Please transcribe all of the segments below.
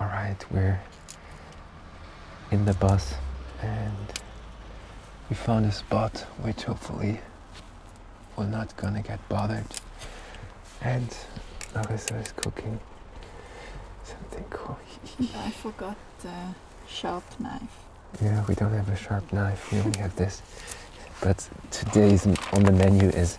All right, we're in the bus and we found a spot which hopefully we're not gonna get bothered. And Larissa is cooking something cool. I forgot the sharp knife. Yeah, we don't have a sharp knife, we only have this. But today's on the menu is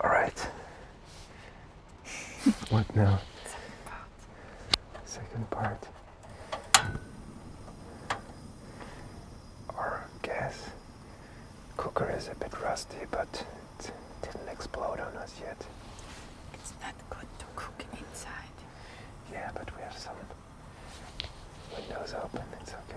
All right. what now? Second part. Our gas cooker is a bit rusty, but it didn't explode on us yet. It's not good to cook inside. Yeah, but we have some windows open. It's okay.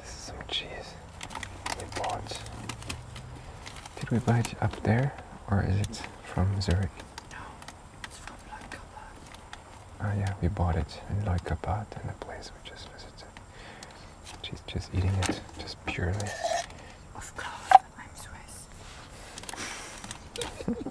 This is some cheese we bought. Did we buy it up there or is it from Zurich? No, it's from Leukapad. Oh ah, yeah, we bought it in Leukapad in the place we just visited. She's just eating it, just purely. Of course, I'm Swiss.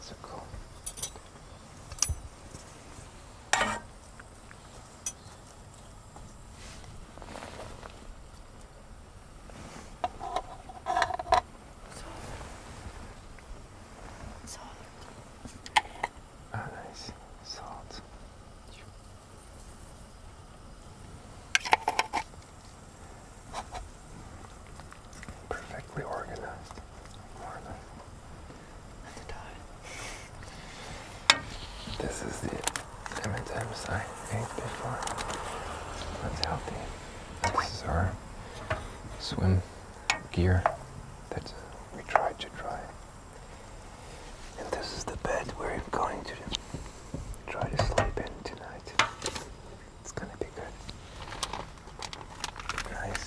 so cool. Salt. Oh, nice. Salt perfectly organized, more or less. At the This is the M&M's I ate before. That's healthy. This is our swim gear that we tried to dry. And this is the bed we're going to try to sleep in tonight. It's gonna be good. Nice.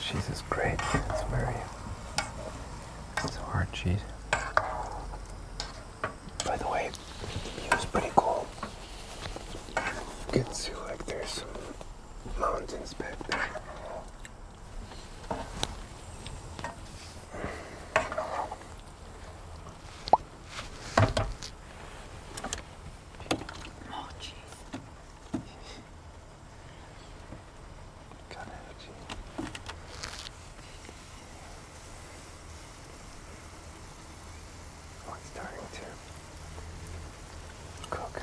cheese is great. It's very, it's a hard cheese. By the way, the was pretty cool. Getting to see like there's some mountains back there. cheese. Oh, Oh, it's starting to cook a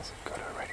Is it good already?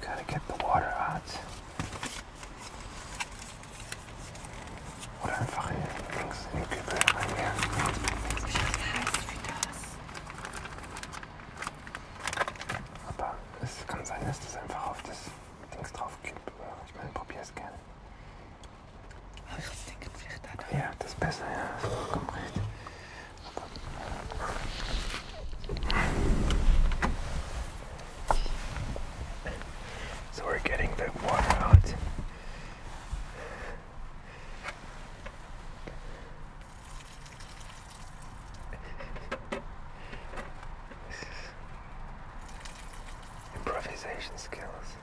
Gotta get the water out. Oder einfach in, links in den Kübel reingehen. Aber es kann sein, dass das einfach auf das Dings drauf kippt. Ich meine, probier es gerne. Ja, das ist besser, ja. So we're getting the water out. improvisation skills.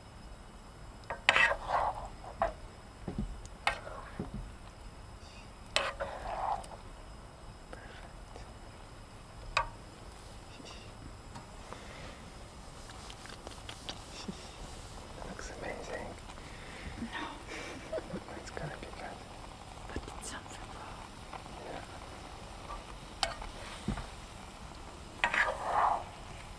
Looks amazing. No. it's gonna be good. But it's uncomfortable. Yeah.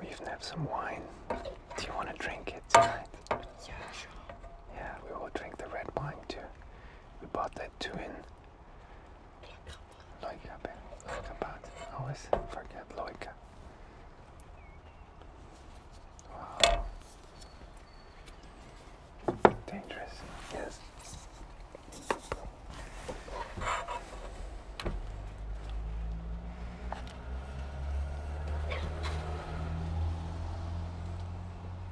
We even have some wine. Do you want to drink it tonight? Yeah, we will drink the red wine too. We bought that too in. Loika, baby. Always forget Loika. Dangerous. Yes.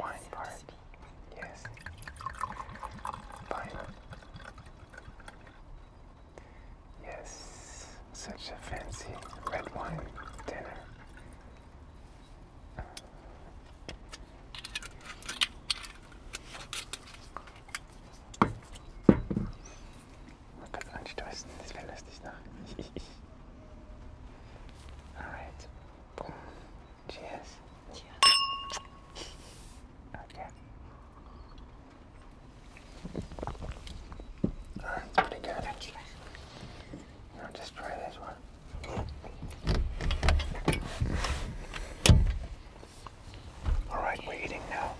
Wine part. Yes. Vine. Yes. Such a fancy red wine dinner. Oh Gott, anstoßen, das wäre lustig, ne? All right. Cheers. Okay. That's pretty good. Now just try this one. All right, we're eating now.